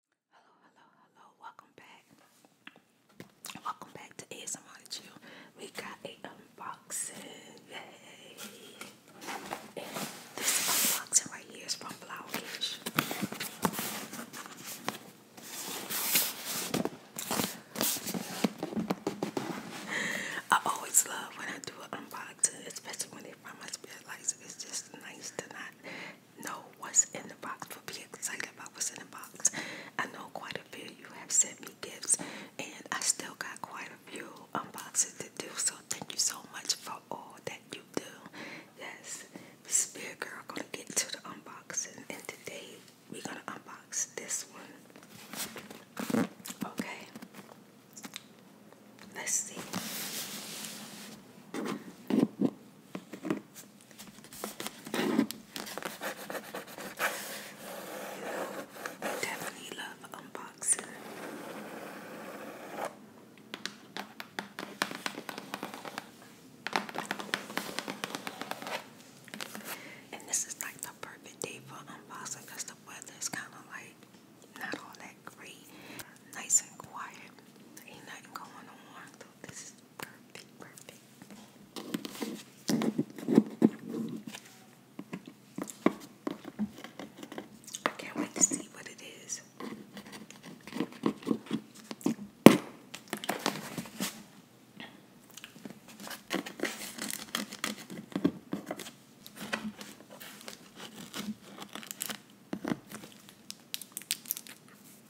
Hello, hello, hello. Welcome back. Welcome back to ASMR We got a unboxing. this unboxing right here is from Flowerkish. I always love when I do an unboxing, especially when they find my spirit lights. It's just nice to not know what's in the box, but be excited about what's in the box. I know quite a few you have sent me gifts, and I still got quite a few unboxings to do. So thank you so much for all that you do. Yes, Spirit Girl gonna get to the unboxing, and today we're gonna unbox this one. Okay, let's see. Definitely love unboxing. And this is like the perfect day for unboxing because the weather is kind of like not all that great nice and quiet. Ain't nothing going on. So this is perfect, perfect. I can't wait to see what it is.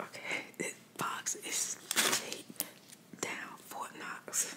Okay, this box is taped down Fort Knox.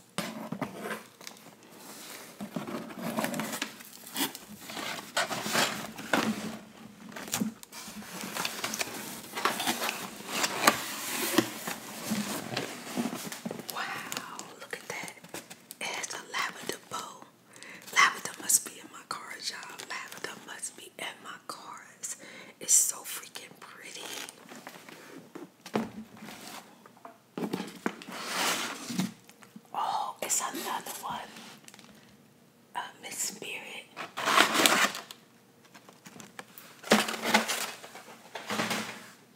Wow, look at that. It's a lavender bow. Lavender must be in my cards, y'all. Lavender must be in my cards. It's so freaking pretty. Oh, it's another one. Uh, Miss Spirit.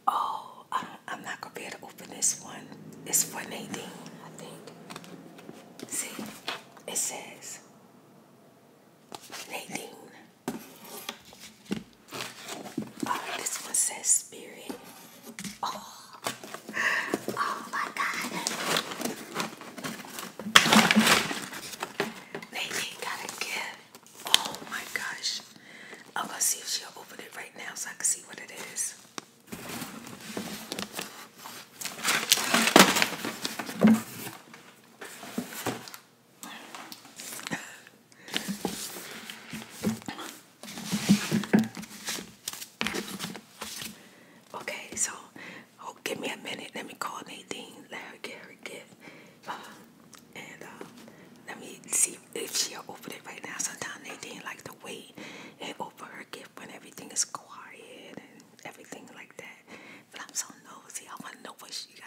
Oh, I'm not gonna be able to open this one. It's for Nadine, I think. See, it says Nadine. Oh, this one says spirit. Oh, oh my God. Lady got a gift. Oh my gosh. I'm gonna see if she'll open it right now so I can see what it is. Okay, so oh, give me a minute. Let me call Nadine. Let her get her gift, uh, and uh, let me see if she'll open it right now. Sometimes Nadine like to wait and open her gift when everything is quiet and everything like that. But I'm so nosy. I want to know what she got.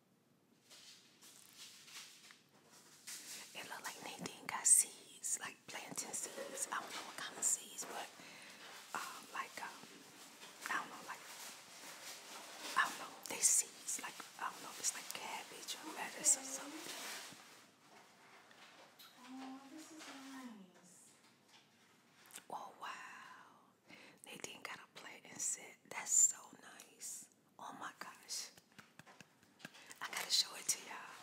It looked like Nadine got seeds, like planting seeds. I don't know what kind of seeds, but um, like um, I don't know, like I don't know, they seeds. Like I don't know, if it's like cabbage or lettuce or something. Oh, this is nice. Oh wow! Nadine got a plant and said, "That's so nice." Oh my gosh. I gotta show it to y'all.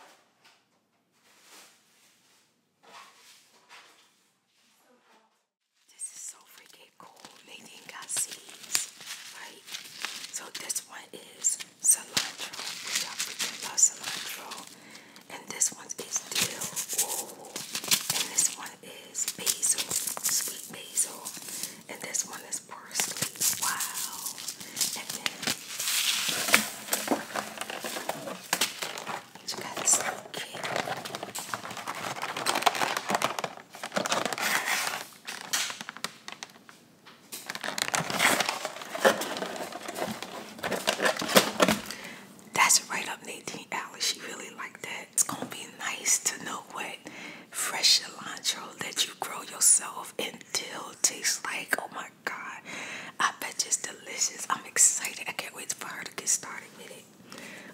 This is so freaking cool. Nadine got seeds, right? So this one is cilantro, love cilantro. And this one is dill. Whoa. And this one is basil, sweet basil and this one is parsley. Wow. And then you got the snack kit. That's right up 18 hours. She really liked that. It's gonna be nice to know what fresh cilantro that you grow yourself and dill tastes like oh my god i bet it's delicious i'm excited i can't wait for her to get started with it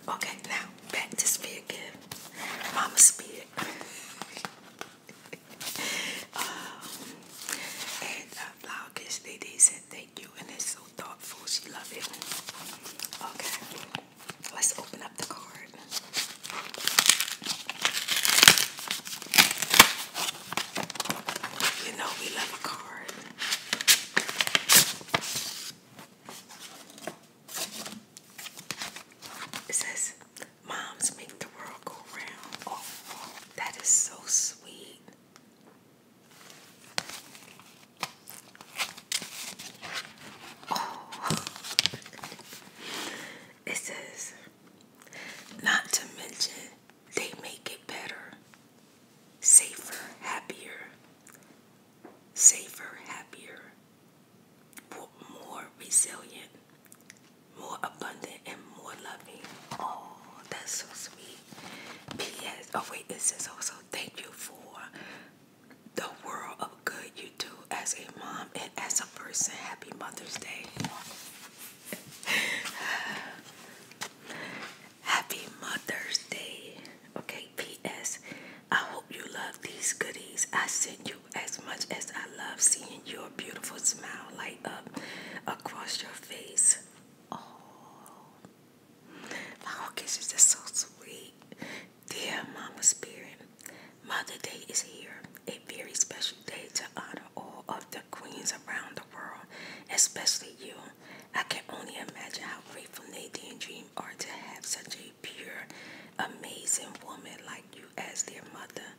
okay now back to spear gift mama spear um, and uh, flower kiss lady said thank you and it's so thoughtful she loved it okay Let's open up the card. You know we love a card. It says, Moms make the world go round. Oh, that is so sweet. Oh, It says, not to mention, they make it better, safer, happier, safer, happier, more resilient, more abundant, and more loving. Oh, that's so sweet. P.S. Oh, wait, it says also, thank you for the world of good you do as a mom and as a person. Happy Mother's Day. Happy Mother's Day. Okay, P.S. I hope you love these goodies. I sent you as much as I love seeing your beautiful smile light up across your face. Oh, my orchids is so sweet. Dear Mama Spirit, Mother Day is here, a very special day to honor all of the queens around the world, especially you. I can only imagine how grateful Nadine and Dream are to have such a pure, amazing woman like you as their mother.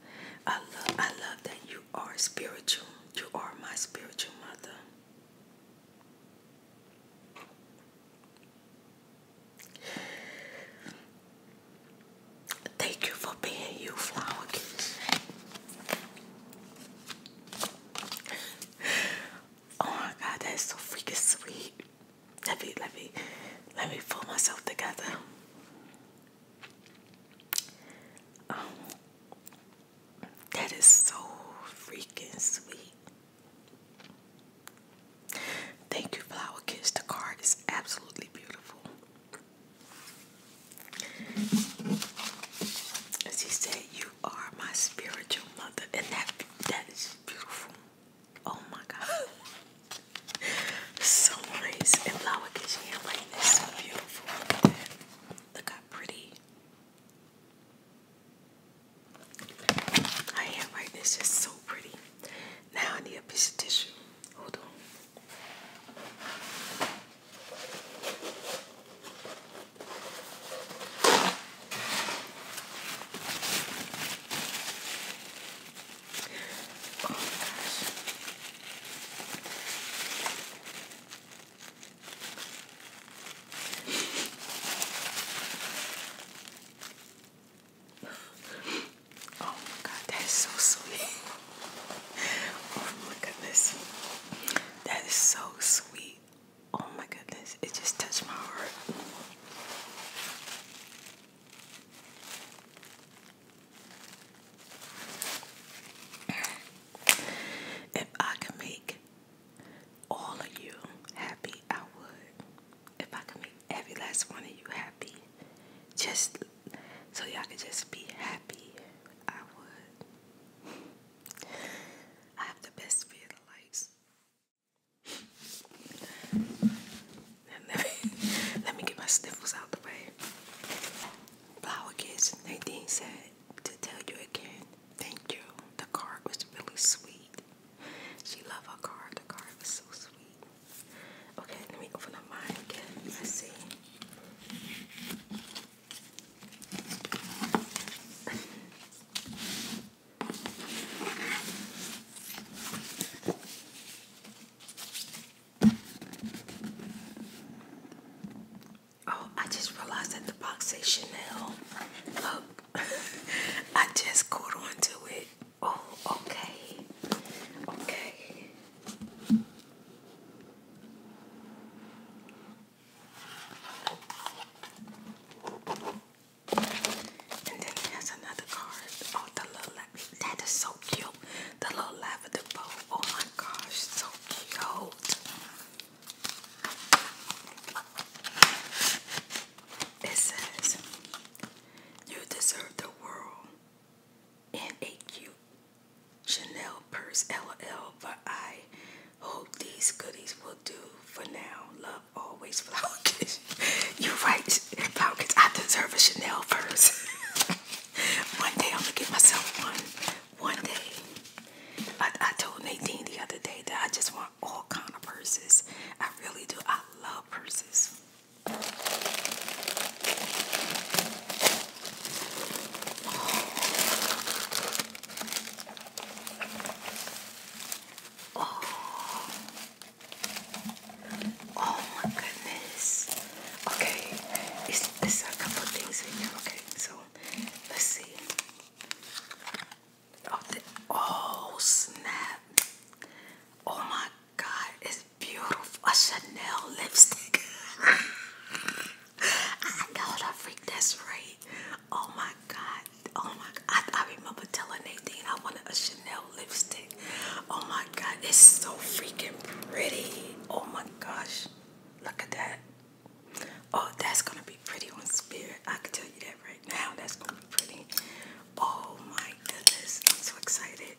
I love, I love that you are spiritual. You are my spiritual mother. Thank you for being you, flower kids. oh my god, that's so freaking sweet. Let me let me let me pull myself together. Um, that is so freaking sweet. Thank you, Flower Kiss. The card is absolutely beautiful. As he said, you are my spiritual mother, and that that is beautiful. Oh my God. so nice. And Flower Kiss handwriting is so beautiful. Look how pretty. Her handwriting is just so pretty. Now I need a piece of tissue. Hold on. Oh my god, that is so sweet. oh my goodness. That is so sweet. Oh my goodness. It just touched my heart. If I could make all of you happy, I would if I can make every last one of you happy, just so y'all can just be happy, I would. I have the best fear of lights. Let me, let me get my sniffles out the way. Flower Kids, Nadine said to tell you again, thank you. The card was really sweet. She loved her card. The card was so sweet. Okay, let me open the mine again. let see. oh, I just realized that the box says Chanel. Look, I just caught on to it. Oh, okay. Okay. And then it another card. Oh, the little that is so cute. The little lavender bow. Oh my gosh, so cute. It says you deserve the world. In a cute Chanel purse, LL, but I hope these goodies will do for now. Love always Falcons. you are right, Falcons. I deserve a Chanel purse. one day I'm gonna get myself one. One day. I, I told Nadine the other day that I just want all kind of purses. I really do. I love purses. Oh. oh. my goodness. Okay, it's, it's a couple things in here. Okay, so let's see. oh, oh snap. Oh my God, it's beautiful. A Chanel lipstick. I got a freak. That's right. Oh my God. Oh my I remember telling Nadine I wanted a Chanel lipstick. Oh my God. It's so freaking pretty. Oh my gosh. Look at that. Oh, that's going to be pretty on Spirit. I can tell you that right now. That's going to be pretty. Oh my goodness, I'm so excited.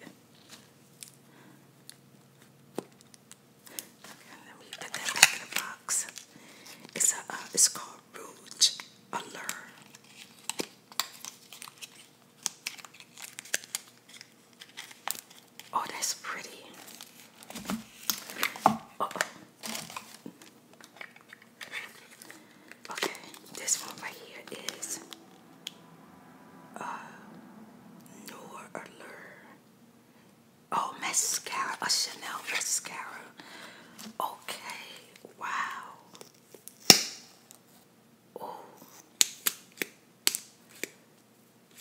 let me put that back in the box. It's a uh, it's called Rouge Allure. Oh, that's pretty. -oh. Okay, this one right here is uh, Noor Allure. Oh, mascara, a Chanel mascara. Okay, wow. Oh,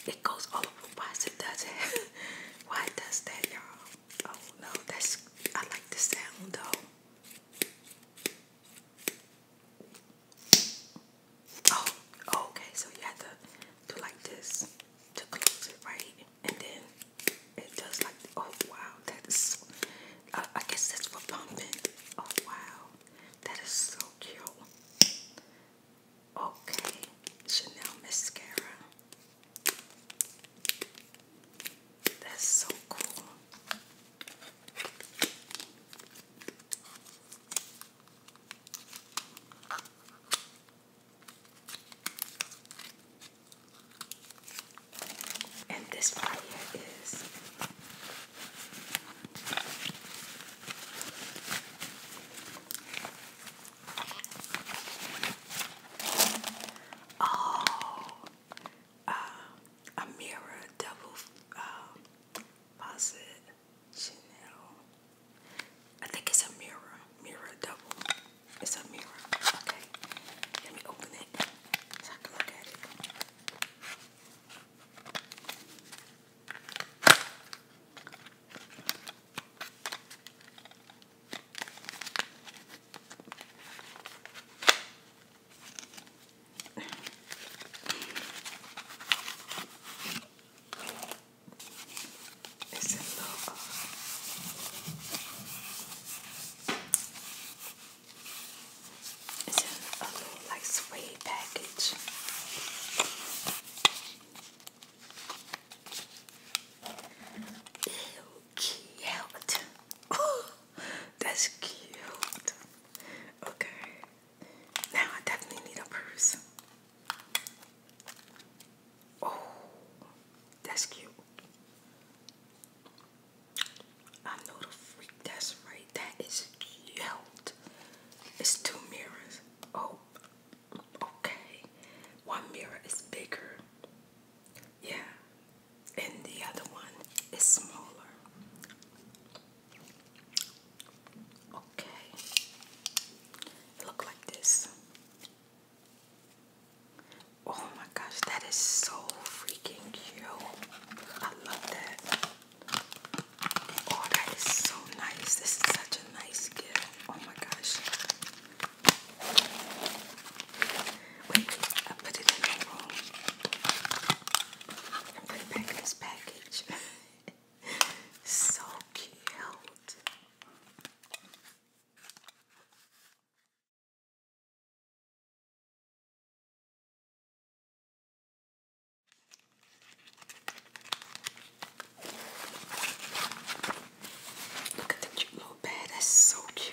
it goes all over. Why does it? Why does that, y'all? Oh no, that's I like the sound though. Oh, okay. So you have to do like this to close it, right? And then it does like oh wow, that is. I guess that's for pumping. Oh wow, that is so cute. Okay, Chanel mascara. That's so cool. And this part here is Oh, a mirror, double uh, uh faucet, Chanel. I think it's a mirror, mirror double. It's a mirror. Okay, let me open it so I can look at it. It's a little like suede package. cute. Oh, that's cute. Okay. Now I definitely need a purse. Oh, that's cute. I know the freak that's right. That is cute. It's two mirrors. Oh, okay. One mirror is bigger. Yeah, and the other one is smaller. Okay, look like this. Oh my gosh, that is so freaking cute. I love that. Oh, that is so nice. This is such a nice gift. Oh my gosh. Wait, I put it in the room. Put back this package. so cute. Look at the cute little bag. That's so cute.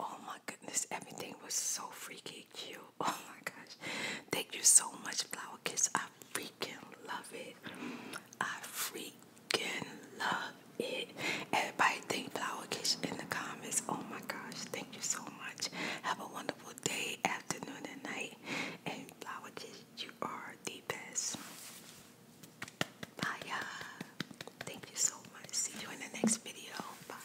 Oh my goodness, everything was so freaking cute. Oh my gosh. Thank you so much, Flower Kiss. I freaking love it. I freaking fucking love it. Everybody think flower kitchen in the comments. Oh my gosh, thank you so much. Have a wonderful day, afternoon, and night. And flower kitchen, you are the best. Bye Thank you so much. See you in the next video. Bye.